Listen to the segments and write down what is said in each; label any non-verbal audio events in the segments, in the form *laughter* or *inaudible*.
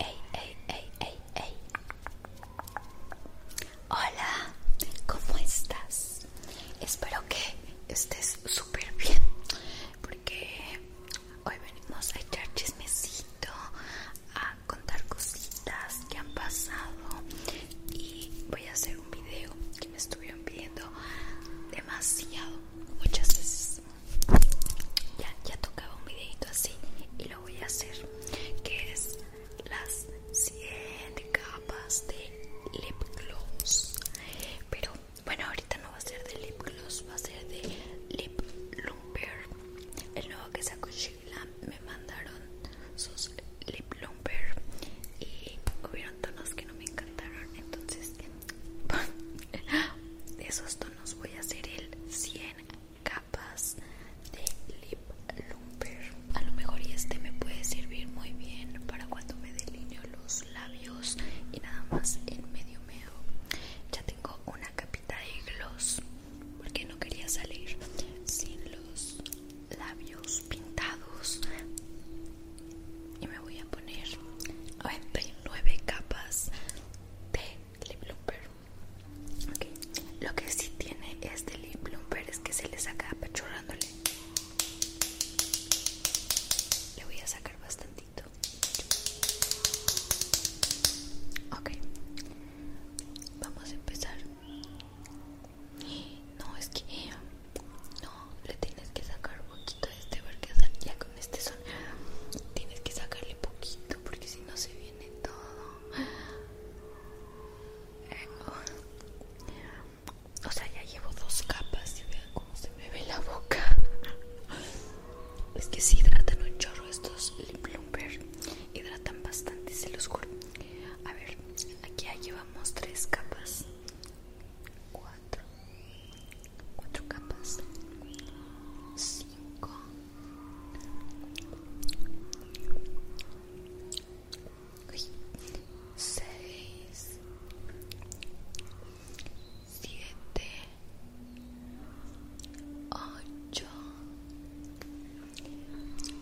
Hey, ey, ey, ey, Hola, ¿cómo estás? Espero que estés súper bien porque hoy venimos a echar chismecito, a contar cositas que han pasado y voy a hacer un video que me estuvieron pidiendo demasiado, muchas veces ya, ya tocaba un videito así y lo voy a hacer que es las Siete capas de lip gloss pero bueno ahorita no va a ser de lip gloss va a ser de lip lumper el nuevo que sacó Sheila me mandaron sus lip lumper y hubieron tonos que no me encantaron entonces *laughs* de esos tonos voy a hacer el 100 capas de lip lumper a lo mejor y este me puede servir muy bien para cuando me delineo los labios y nada más en medio medio ya tengo una capita de gloss porque no quería salir sin los labios pintados y me voy a poner 99 capas de lip lo que sí tiene este lip bloomer es que se le saca apachurrándole le voy a sacar bastantito ok vamos a empezar *gasps* no es que eh, no le tienes que sacar poquito de este porque ya con este son tienes que sacarle poquito porque si no se viene todo eh, o sea ya llevo dos capas y vean cómo se me ve la boca es que si hidratan un chorro estos lip hidratan bastante se los a ver aquí ya llevamos tres capas cuatro cuatro capas cinco seis siete ocho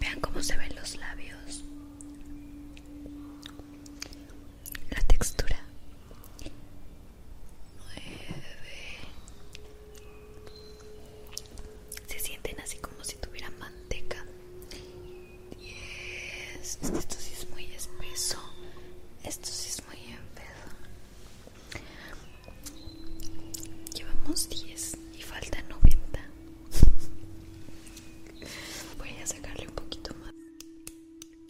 vean cómo se ven los labios la textura. 9. Se sienten así como si tuviera manteca. 10. Esto sí es muy espeso. Esto sí es muy enfermo. Llevamos 10 y falta 90. Voy a sacarle un poquito más.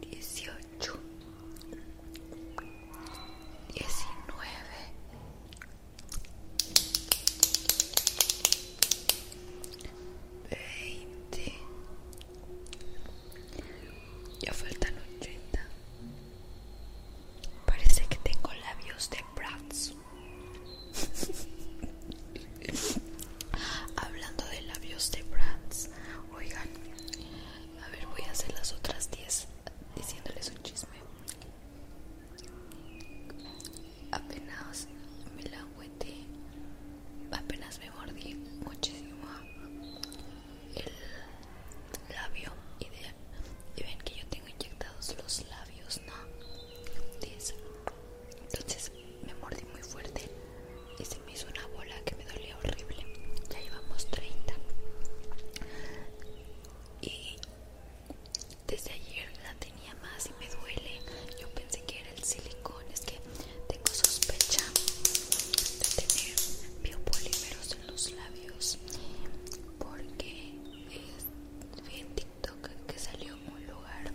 dieciocho, diecinueve, veinte. Ya faltan ochenta. Parece que tengo labios de Bratz. *laughs* Hablando de labios de Bratz, Oigan, a ver, voy a hacer las otras 10 diciéndoles un chisme. Apenas me la apenas me mordí muchísimo el labio ideal. y ven que yo tengo inyectados los labios, ¿no? Entonces me mordí muy fuerte y se me hizo una bola que me dolía horrible. Ya llevamos 30. Y desde ayer la tenía más y me duele. Yo pensé que era el silicón. Es que tengo sospecha de tener biopolímeros en los labios. Porque vi en TikTok que salió un lugar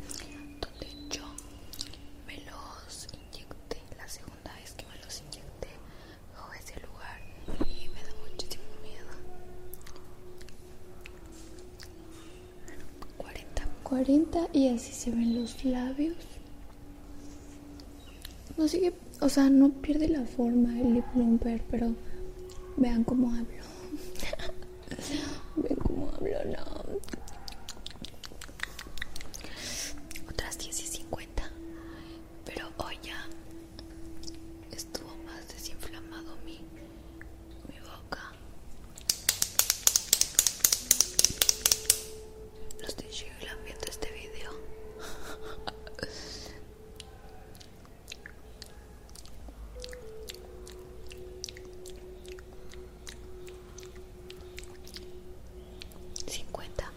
donde yo me los inyecté, la segunda vez que me los inyecté bajo ese lugar y me da muchísimo miedo. 40. 40 y así se ven los labios. No sigue, o sea, no pierde la forma el lip pero vean cómo hablo. *laughs* vean cómo hablo, no otras 10 y 50 pero hoy ya estuvo más desinflamado mi, mi boca no estoy viendo este video *laughs* 50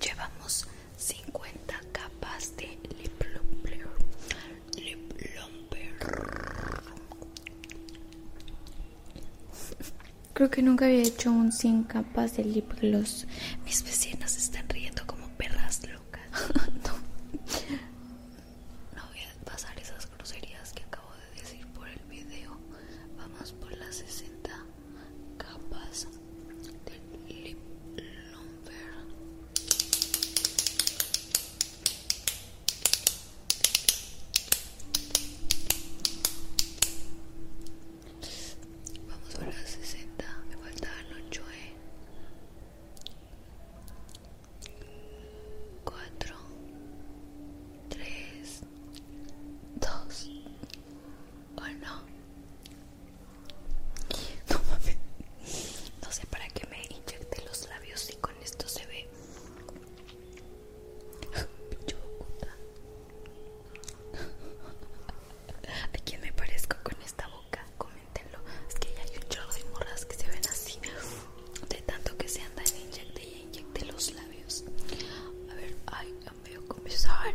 llevamos 50 capas de lip lip creo que nunca había hecho un 100 capas de lip mis vecinas están riendo como perras locas *laughs* *laughs* No voy a pasar esas groserías que acabo de decir por el video. Vamos por las 60 capas del lip lumber. Vamos por las 60, me falta el 8, e 4 3 2 1 no mames no sé para qué me inyecté los labios si con esto se ve pinche ¿A quién me parezco con esta boca? Coméntenlo. Es que ya hay un chorro de morras que se ven así. De tanto que se andan inyectando inyecté los labios. A ver, ay, me dio comezón.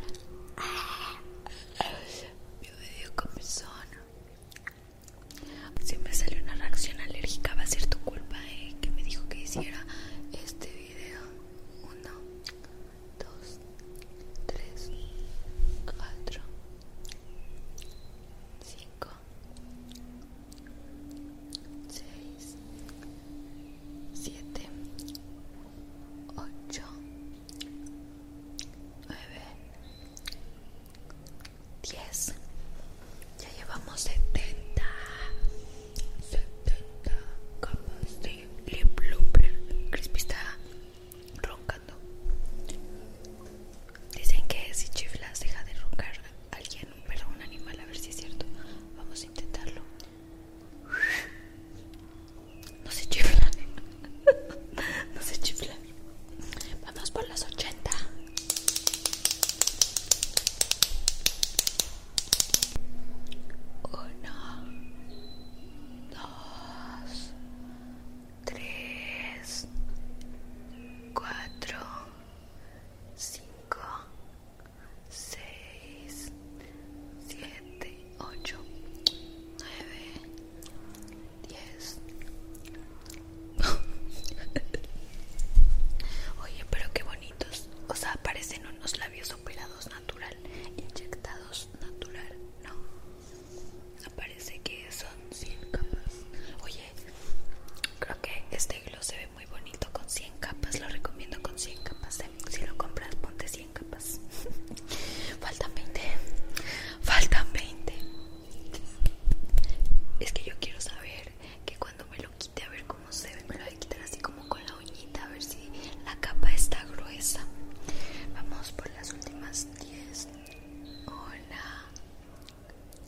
Me dio comezón. Si me salió una reacción alérgica, va a ser tu culpa, eh, que me dijo que hiciera este video. Uno, dos, tres, cuatro, cinco. 6 7 8 9 10 ya llevamos 70 70 capas de lip blooper crispy está roncando Dicen que si chiflas deja de roncar a alguien, un perro, un animal, a ver si es cierto. Vamos a intentarlo. No se chifla. *laughs* No se chifla. Vamos por las 80. Uno, dos, tres, cuatro. 5, 6, 7, 8, 9, 10. Oye, pero qué bonitos. O sea, parecen unos labios operados natural, inyectados natural, ¿no? aparece que son 100 creo que este gloss se ve muy bonito con 100 capas. Lo recomiendo con 100 capas. Eh. Si lo compras, ponte 100 capas. *laughs* Faltan 20. Faltan 20. Es que yo quiero saber que cuando me lo quite, a ver cómo se ve. Me lo voy a quitar así como con la uñita, a ver si la capa está gruesa. Vamos por las últimas 10. Hola.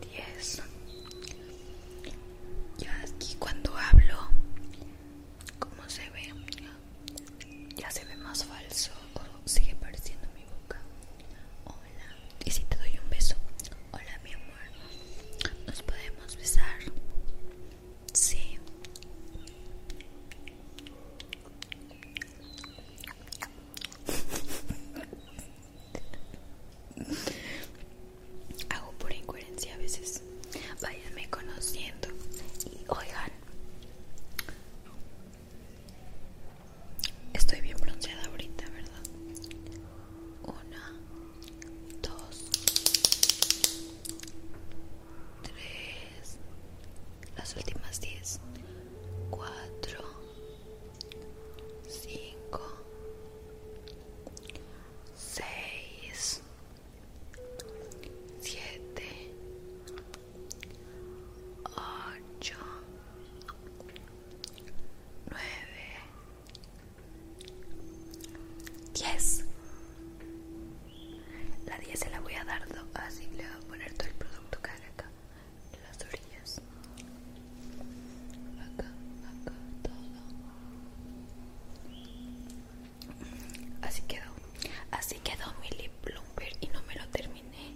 10 ya aquí cuando hablo como se ve ya se ve más falso o sigue pareciendo mi boca hola y si te doy un beso hola mi amor nos podemos besar sí *laughs* Hago por incoherencia a veces. Váyanme conociendo y oigan. Estoy bien bronceada ahorita, ¿verdad? Una, dos, tres, las últimas diez, cuatro, 5, 6, 7, 8, 9, 10. La 10 se la voy a dar dos, así le voy a poner todo el producto cara acá las orillas acá acá todo así quedó así quedó mi lip plumper y no me lo terminé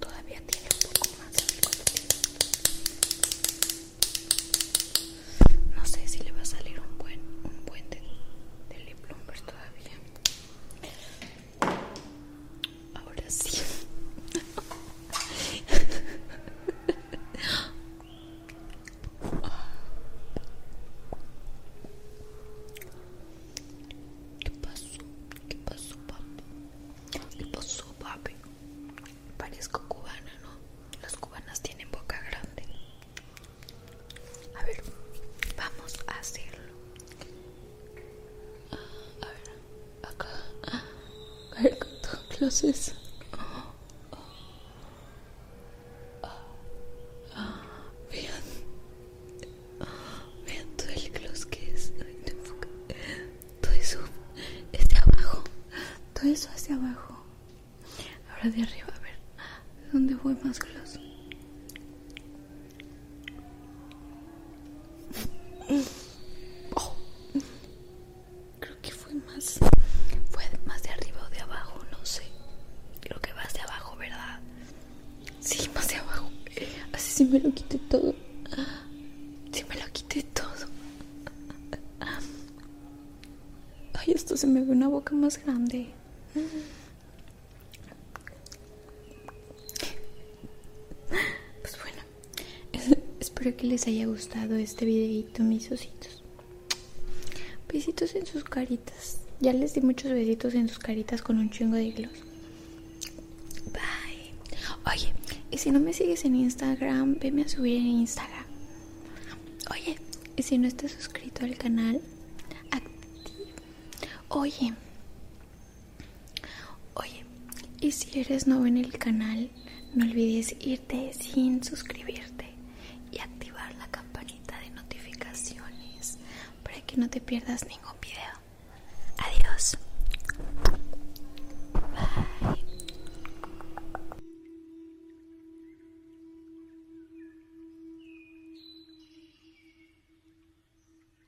todavía tiene un poco más de no sé si le va a salir un buen un buen de, lip Plumber todavía Ahora sí. ¿Qué pasó? ¿Qué pasó, papi? ¿Qué pasó, papi? Parezco cubana, ¿no? Las cubanas tienen boca grande. A ver, vamos a hacerlo. A ver, acá. a ver Cargando es Vean. Vean todo el gloss que es. Todo eso es de abajo. Todo eso hacia abajo. Ahora de arriba, a ver. ¿Dónde fue más gloss? Oh. Creo que fue más fue más de arriba o de abajo, no sé. Creo que va de abajo, ¿verdad? Sí, más de abajo. Así sí me lo quité todo. Sí me lo quité todo. Ay, esto se me ve una boca más grande. Pues bueno, Espero que les haya gustado este videito, mis ositos. Besitos en sus caritas. Ya les di muchos besitos en sus caritas con un chingo de gloss. Bye. Oye, y si no me sigues en Instagram, veme a subir en Instagram. Oye, y si no estás suscrito al canal, activa. Oye, Oye, y si eres nuevo en el canal, no olvides irte sin suscribirte y activar la campanita de notificaciones para que no te pierdas ningún video. Adiós. Bye.